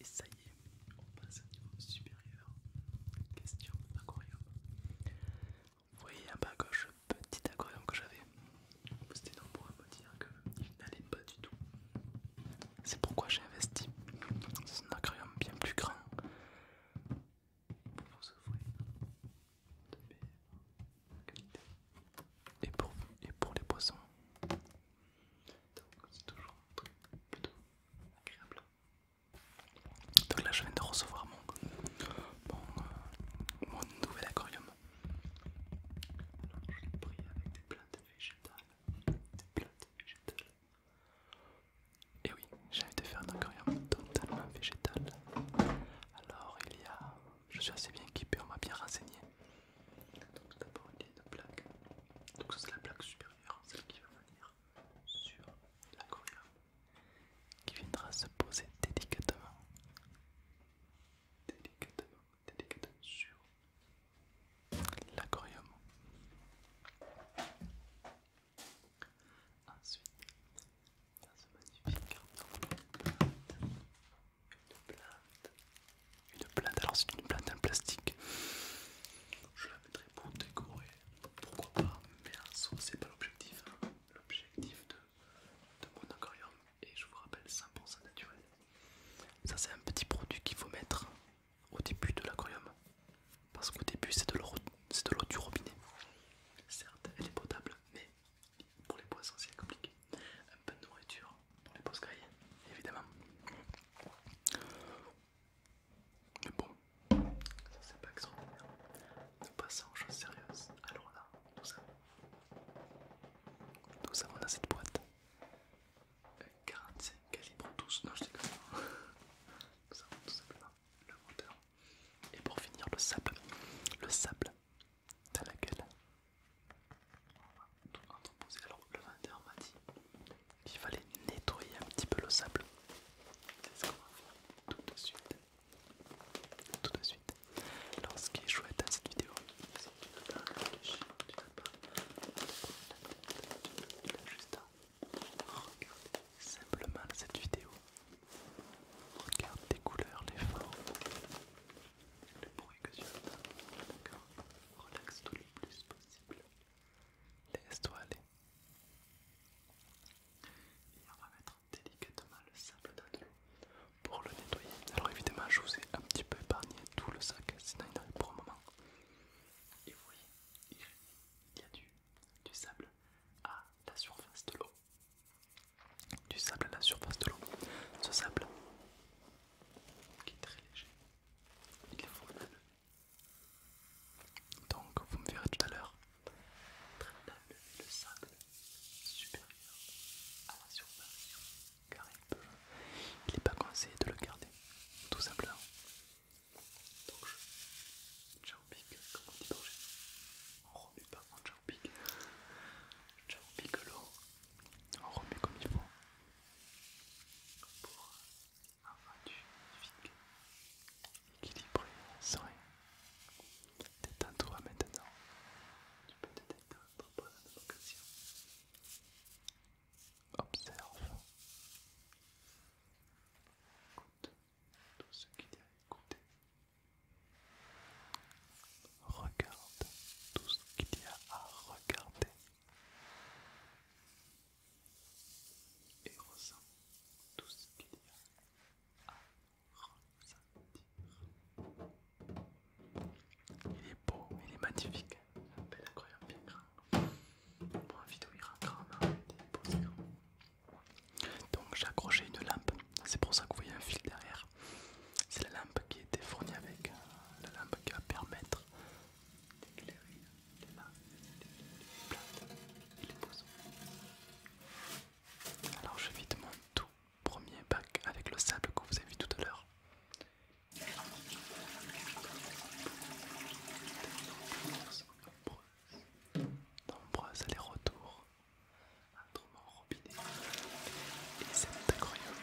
et ça y est, on passe au niveau supérieur. Question aquarium. Vous voyez en bas à gauche le petit aquarium que j'avais. C'était nombreux à me dire qu'il n'allait pas du tout. C'est pourquoi j'ai investi dans un aquarium bien plus grand pour vous offrir de meilleure qualité et pour et pour les poissons. Donc c'est toujours un truc plutôt agréable. Donc là je viens de recevoir euh, mon, nouvel aquarium. Alors je l'ai pris avec des plantes végétales. Des plantes végétales. Et oui, j'ai envie de faire un aquarium totalement végétal. Alors il y a... Je suis assez bien équipé, on m'a bien renseigné. Donc d'abord il y a une plaque, donc ça c'est la plaque supérieure, celle qui va venir sur l'aquarium qui viendra se poser délicatement, délicatement, délicatement sur l'aquarium. Ensuite, dans ce magnifique carton, une plante. Une plante, alors c'est une plante en plastique. Je la mettrai pour décorer, pourquoi pas, mais un saut c'est pas l'objectif. Hein. L'objectif de, de mon aquarium et je vous rappelle 100% naturel. Ça c'est un petit produit qu'il faut mettre au début de l'aquarium. Parce qu'au début c'est de l'eau du robinet. Certes, elle est potable, mais pour les poissons c'est compliqué un peu de nourriture pour les beaux grillées, évidemment. Mais bon, ça c'est pas extraordinaire. Nous passons aux choses sérieuses. Alors là, nous avons, ça on a cette boîte 45 calibres 12. Non, je déconne. Nous avons tout simplement le moteur. Et pour finir, le sable. Le sable dans lequel alors le vendeur m'a dit qu'il fallait nettoyer un petit peu le sable. C'est ce qu'on va faire tout de suite. Tout de suite. Alors ce qui est chouette dans cette vidéo, c'est que tu vas pas réfléchir, tu dois pas Regardez juste à simplement cette vidéo. Regarde les couleurs, les formes le bruit que tu as d'accord relaxe tout le plus possible. Laisse-toi aller. Et on va mettre délicatement le sable dans pour le nettoyer. Alors évidemment, je vous ai un petit peu épargné tout le sac, sinon il n'arrive pour un moment. Et vous voyez, il y a du sable à la surface de l'eau. Du sable à la surface de l'eau. Ce sable qui est très léger, il est formidable. Donc vous me verrez tout à l'heure Très bien, le sable supérieur à la surface car il peut, il n'est pas conseillé de le garder, tout simplement. Donc je pique comme on dit dans le on remue pas, on pique l'eau, on remue comme il faut pour un du magnifique, équilibré, serein. Détends-toi maintenant. Tu peux te détendre pendant vocation. Observe. Écoute tout ce qu'il y a à écouter. Regarde tout ce qu'il y a à regarder et ressent tout ce qu'il y a à ressentir. Il est beau, il est magnifique, un bel Pour envie vidéo Donc j'ai accroché une lampe, c'est pour ça que vous voyez un fil derrière. C'est la lampe qui était fournie avec, euh, la lampe qui va permettre terrestre d'éclairer les lacs, les plages et les poissons. Alors je vide mon tout premier bac avec le sable que vous avez vu tout à l'heure. Nombreuses nombreuses, allers-retours entre mon robinet et cet aquarium.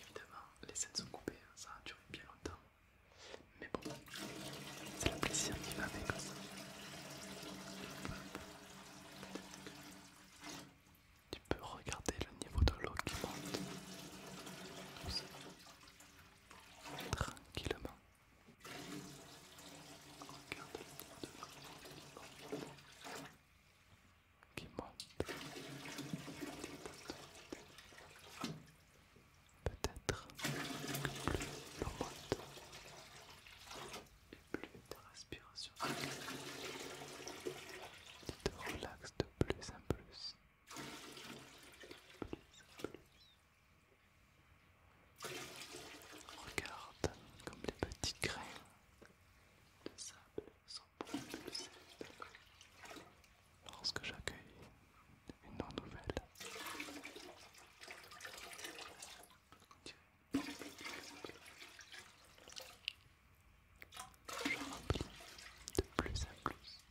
Évidemment, les scènes sont coupées, hein. ça a duré bien longtemps. Mais bon, c'est la plaisir qui va avec ça. Tu peux regarder le niveau de l'eau qui monte. Tranquillement. Regarde le niveau de l'eau qui monte qui monte. Peut-être que plus l'on monte et plus ta respiration tu te relaxe de plus en plus. Regarde comme les petits grains de sable lorsque j'accueille une non-nouvelle. Je remplis de plus en plus,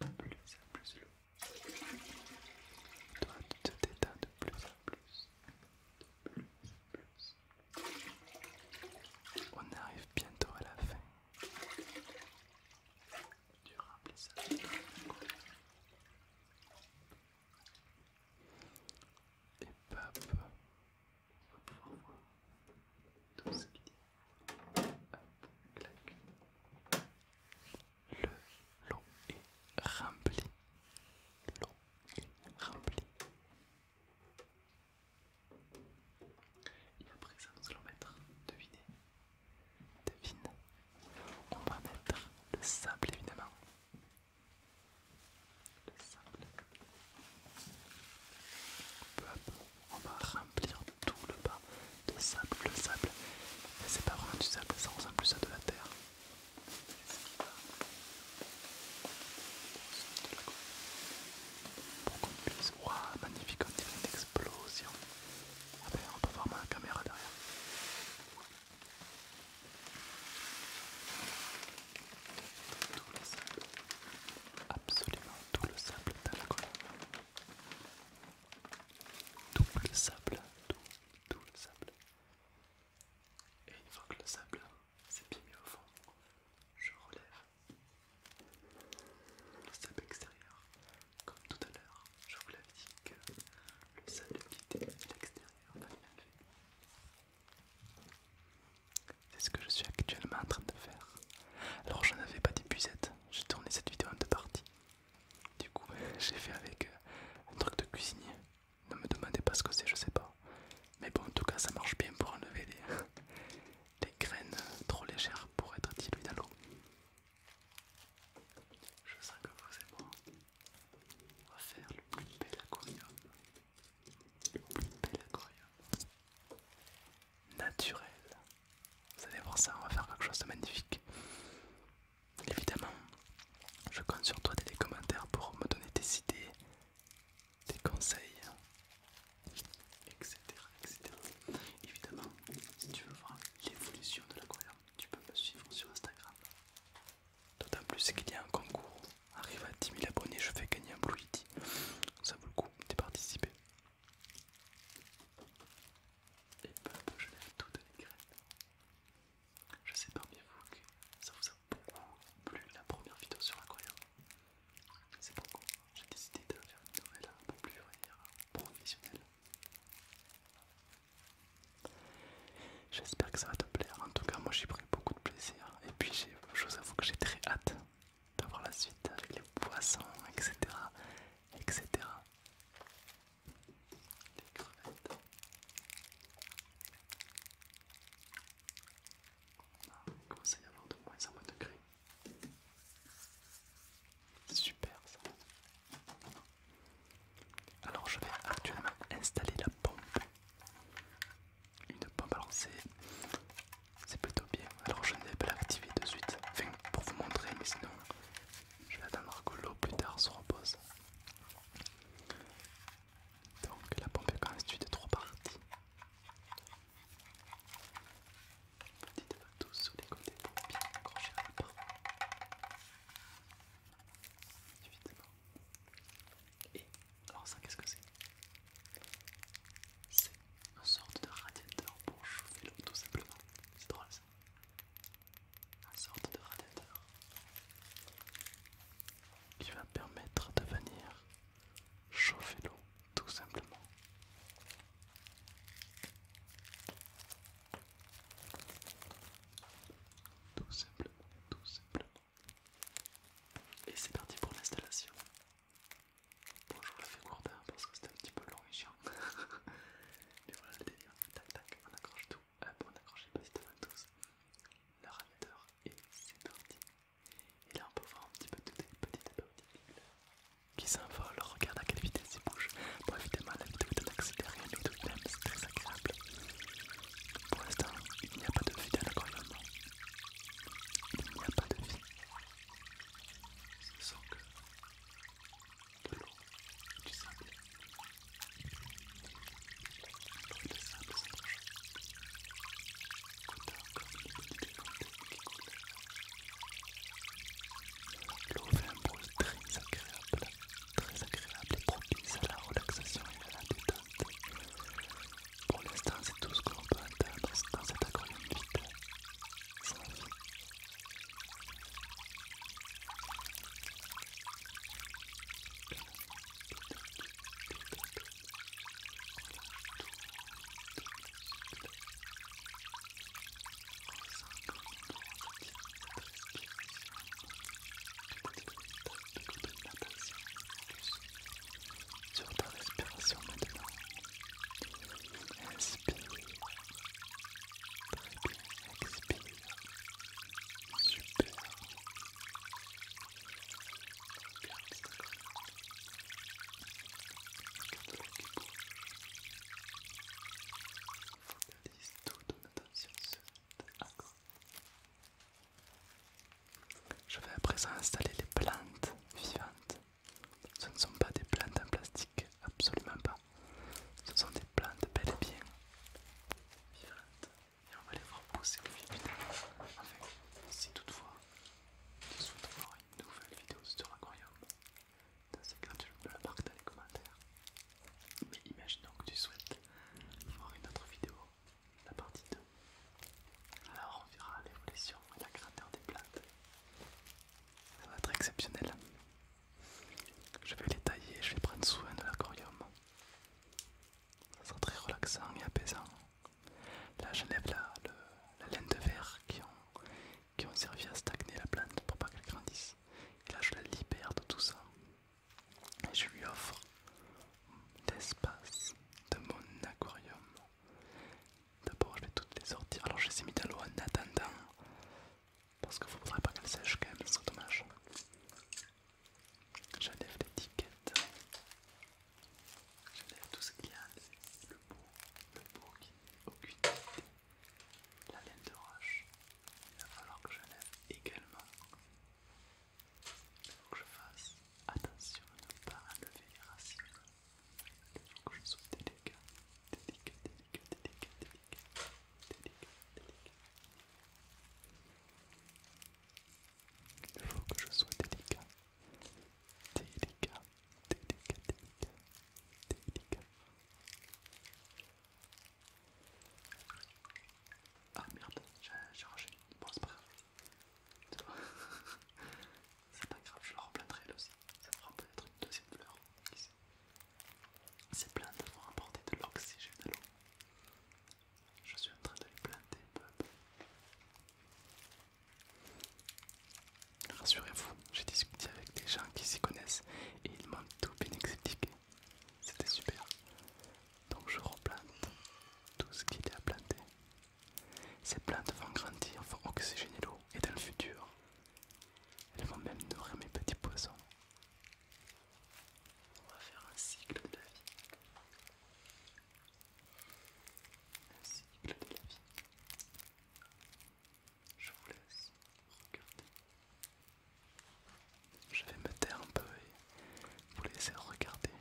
de plus en plus l'eau. Toi, tu te détends de plus en plus, de plus en plus. On arrive bientôt à la fin. Du remplissage. Et pape, on va pouvoir voir tout ce qui y Hop, Le lot est rempli. L'eau est rempli. Et après ça, nous allons mettre, devinez, devine, on va mettre le sable évidemment. Le sable. Peu à peu, on va remplir tout le bas de sable. Le sable, mais c'est pas vraiment du sable, ça ressemble plus à de la terre. c'est ce qui va pour qu'on puisse... magnifique, on dirait une explosion. Ah ben, on peut voir ma caméra derrière. Tout le sable. Absolument tout le sable dans la colonne. Tout le sable, tout, tout le sable. Et une fois que le sable c'est bien mis au fond. Je relève le sable extérieur. Comme tout à l'heure, je vous l'avais dit que le sable qui était à l'extérieur C'est ce que je suis actuellement en train de faire. Alors je n'avais pas d'épuisette, j'ai tourné cette vidéo en deux parties. Du coup, j'ai fait avec euh, un truc de cuisinier. Ne me demandez pas ce que c'est, je sais pas. Mais bon, en tout cas, ça marche bien pour enlever les, graines trop légères pour être diluées dans l'eau. Je sens que vous et moi, on va faire le plus bel aquarium. Le plus bel aquarium. Naturel. Vous allez voir ça, on va faire quelque chose de magnifique. Évidemment, je compte sur toi dès les commentaires pour me donner des idées, des conseils, etc. etc. Évidemment, si tu veux voir l'évolution de la l'aquarium, tu peux me suivre sur Instagram. D'autant plus qu'il y a un concours. Arrive à 10 000 abonnés, je fais gagner un Blue Yeti. Ça vaut le coup de participer. Et ben, je lève toutes les graines. Je sais pas parmi vous que ça vous a plus la première vidéo sur l'aquarium. C'est pourquoi j'ai décidé de faire une nouvelle un peu plus professionnelle. J'espère que ça va te plaire. En tout cas, moi j'ai pris beaucoup de plaisir. Et puis, je vous avoue que j'ai très hâte d'avoir la suite avec les poissons, etc. etc. Les crevettes. Ah, commence à y avoir de moins en moins de degrés. C'est super ça. Alors je vais actuellement installer la pompe. Une pompe, alors c'est plutôt bien. Alors je ne vais pas l'activer de suite, enfin pour vous montrer, mais sinon je vais attendre que l'eau plus tard se repose. Donc la pompe est constituée de trois parties. Petite bateau sur les côtés pour bien accrocher la porte. Et alors ça qu'est-ce que c'est C'est une sorte de radiateur pour chauffer l'eau tout simplement. C'est drôle ça. Une sorte de radiateur qui va permettre de venir Chauffez l'eau tout simplement. Tout simplement, tout simplement. Et c'est parti pour l'installation. Bonjour le vous la hein, parce que c'était un petit peu long et chiant. Mais voilà le délire. Tac tac, on accroche tout. Hop, on accroche t'as petites tous. Le radiateur et c'est parti. Et là on peut voir un petit peu toutes les petites particules qui s'envolent. Regarde à quelle vitesse ils bougent. Bon évidemment la vidéo est en accéléré mais tout de même c'est très agréable. Pour l'instant il n'y a pas de vie dans l'aquarium. Il n'y a pas de vie. Ce sont que de l'eau, du sable pour de L'eau fait un bruit très agréable, très agréable et propice à la relaxation et à la détente. Pour l'instant, c'est tout ce que l'on peut entendre dans cet aquarium Sur ta respiration maintenant. Inspire. Très bien. Expire. Super. attention Je vais à présent installer les plantes vivantes. Ce ne sont pas des plantes en plastique, absolument pas. Ce sont des plantes bel et bien vivantes et on va les voir pousser le filles En fait, si toutefois tu souhaites voir une nouvelle vidéo sur l'aquarium, c'est tu peux la marquer dans les commentaires. Mais imaginons que tu souhaites voir une autre vidéo, la partie 2. Alors on verra l'évolution et la grandeur des plantes. Ça va être exceptionnel. Je vais les tailler, je vais prendre soin de l'aquarium. Ça sera très relaxant et apaisant. Là, j'enlève la, la laine de verre qui ont, qui ont servi à stagner la plante pour pas qu'elle grandisse. Et là, je la libère de tout ça et je lui offre l'espace de mon aquarium. D'abord, je vais toutes les sortir. Alors, je les ai mis dans l'eau en attendant parce qu'il ne faudrait pas qu'elle sèche quand même, C'est dommage. Je lève l'étiquette. Je lève tout ce qu'il y a. Le beau, le beau qui n'est aucune idée. La laine de roche. Il va falloir que je lève également. Il faut que je fasse attention à ne pas lever les racines. Il faut que je sois délicat. Délicat, délicat, délicat, délicat. Délicat, délicat. Il faut que je sois délicat. Délicat, délicat, délicat, délicat. Ah merde, j'ai arraché une c'est pas c'est pas grave, je la replanterai elle aussi. Ça fera peut-être une deuxième fleur. C'est plein vont apporter de l'oxygène à l'eau. Je suis en train de les planter, Rassurez-vous, j'ai discuté avec des gens qui s'y connaissent et ils m'ont tout bien expliqué. C'était super. Donc je replante tout ce qu'il y a à planter. Ces plantes vont grandir, vont oxygéner l'eau et dans le futur, elles vont même nourrir mes petits poissons. On va faire un cycle de la vie. Un cycle de la vie. Je vous laisse regarder. Je vais me taire un peu et vous laisser regarder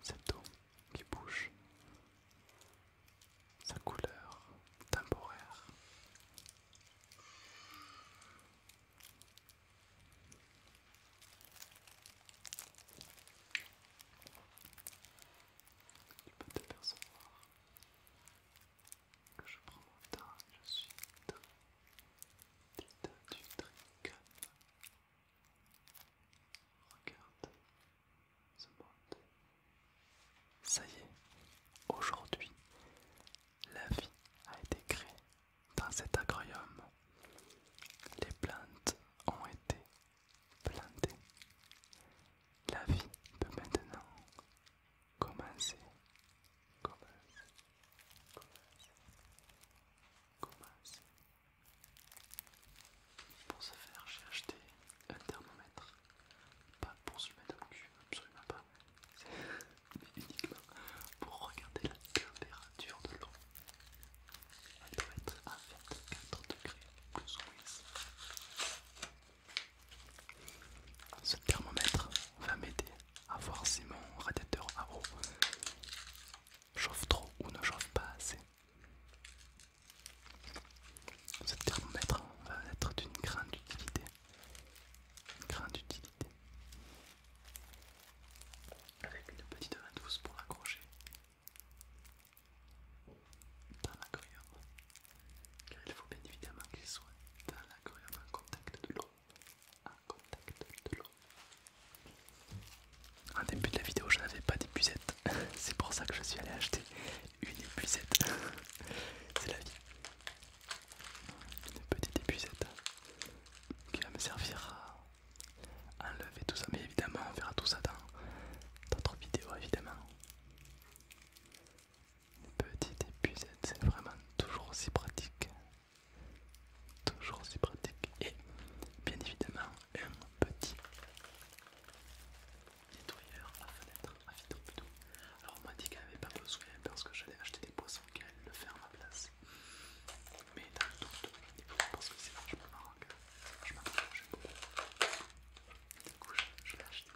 cette eau qui bouge, sa couleur temporaire. Tu peux t'apercevoir que je prends mon temps et je suis dans l'état du Regarde ce monde. Ça y est, aujourd'hui, la vie a été créée dans cet aquarium, les plantes ont été plantées. La vie peut maintenant commencer. Commencer. Commencer. Commencer. Pour ce faire, j'ai acheté un thermomètre. Pas pour se mettre au cul, absolument pas mais uniquement pour regarder la température de l'eau. Elle doit être à 24 degrés plus ou moins. Ce thermomètre va m'aider à voir si mon radiateur à eau chauffe trop ou ne chauffe pas assez. Ce thermomètre va être d'une grande utilité. Grande utilité avec une petite douce pour l'accrocher dans l'aquarium, car il faut bien évidemment qu'il soit dans l'agrium. en contact de l'eau. En contact de l'eau. En début de la vidéo, je n'avais pas d'épuisette, c'est pour ça que je suis allé acheter une épuisette. c'est la vie, une petite épuisette qui va me servir à enlever tout ça. Mais évidemment, on verra tout ça dans d'autres vidéos, évidemment. Une petite épuisette, c'est vraiment toujours aussi pratique. Toujours aussi pratique. Et bien évidemment, un petit nettoyeur à fenêtre, à vitre Alors on m'a dit qu'elle n'avait avait pas besoin parce que j'allais acheter des poissons qu'elle le fait à ma place. Mais dans le doute, il parce que c'est je marrant. Je m'en beaucoup. Du coup, je, je l'achète.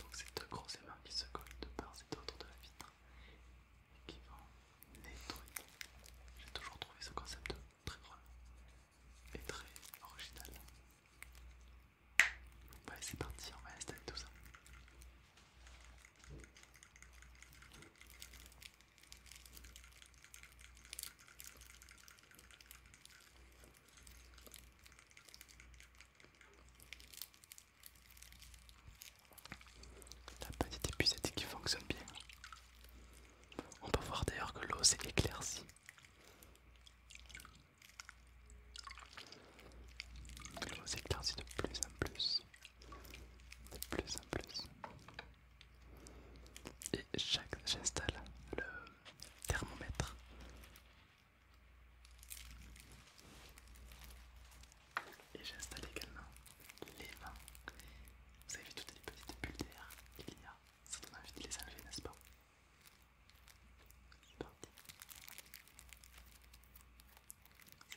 Donc c'est deux grosses mains qui se collent de part et d'autre de la vitre et qui vont nettoyer. J'ai toujours trouvé ce concept très drôle et très original. Ouais, c'est parti, on va installer tout ça. La petite épuisette qui fonctionne bien. On peut voir d'ailleurs que l'eau s'est éclaircie. Je vous éclaircit de plus en plus. De plus en plus. Et j'installe le thermomètre. Et j'installe également les mains. Vous avez vu toutes les petites bulles d'air qu'il y a Ça donne envie de les enlever, n'est-ce pas c'est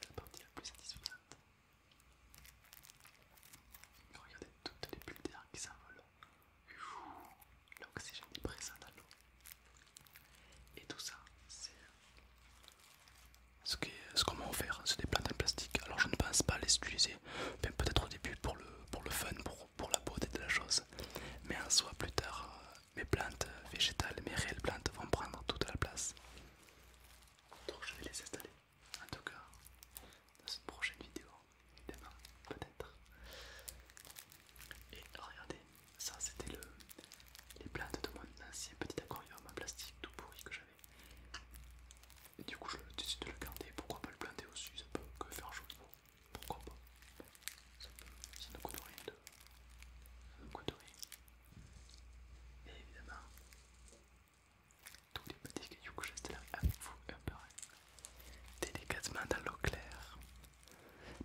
la partie la plus satisfaisante. Regardez toutes les bulles d'air qui s'envolent. L'oxygène est présent dans l'eau. Et tout ça, c'est ce qu'on m'a offert. Hein, c'est des plantes en plastique. Alors je ne pense pas les utiliser. Peut-être au début pour le, pour le fun, pour, pour la beauté de la chose. Mais en soi, plus tard, euh, mes plantes végétales, mes réelles plantes vont prendre toute la place. Donc je vais les installer. En tout cas, dans une prochaine vidéo, évidemment, peut-être. Et regardez, ça c'était le, les plantes de mon ancien petit aquarium en plastique tout pourri que j'avais. Et du coup je décide de le garder, pourquoi pas le planter au sud ça peut que faire joli, pourquoi pas ça, peut, ne coûte rien de. Ça ne coûte rien. Et évidemment, tous les petits cailloux que j'installe avec vous délicatement dans l'eau claire.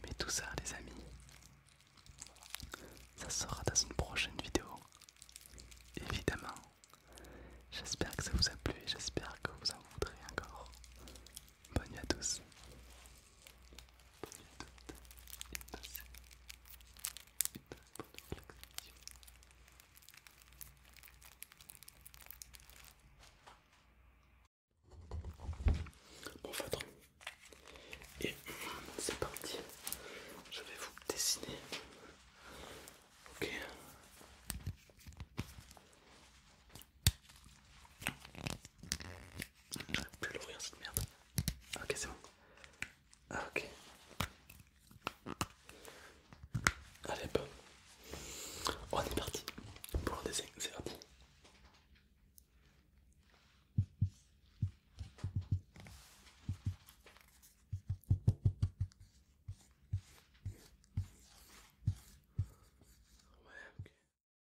Mais tout ça, les amis, ça sera dans une prochaine vidéo. Évidemment, j'espère que ça vous a plu et j'espère que vous en voudrez encore. Bonne à tous. Bonne à toutes. Et hum, c'est parti. Je vais vous dessiner. Ok. Je ne plus l'ouvrir cette merde. Ok, c'est bon. Ah, ok. Allez, bon. On est parti pour le dessin, c'est parti. Ouais, ok.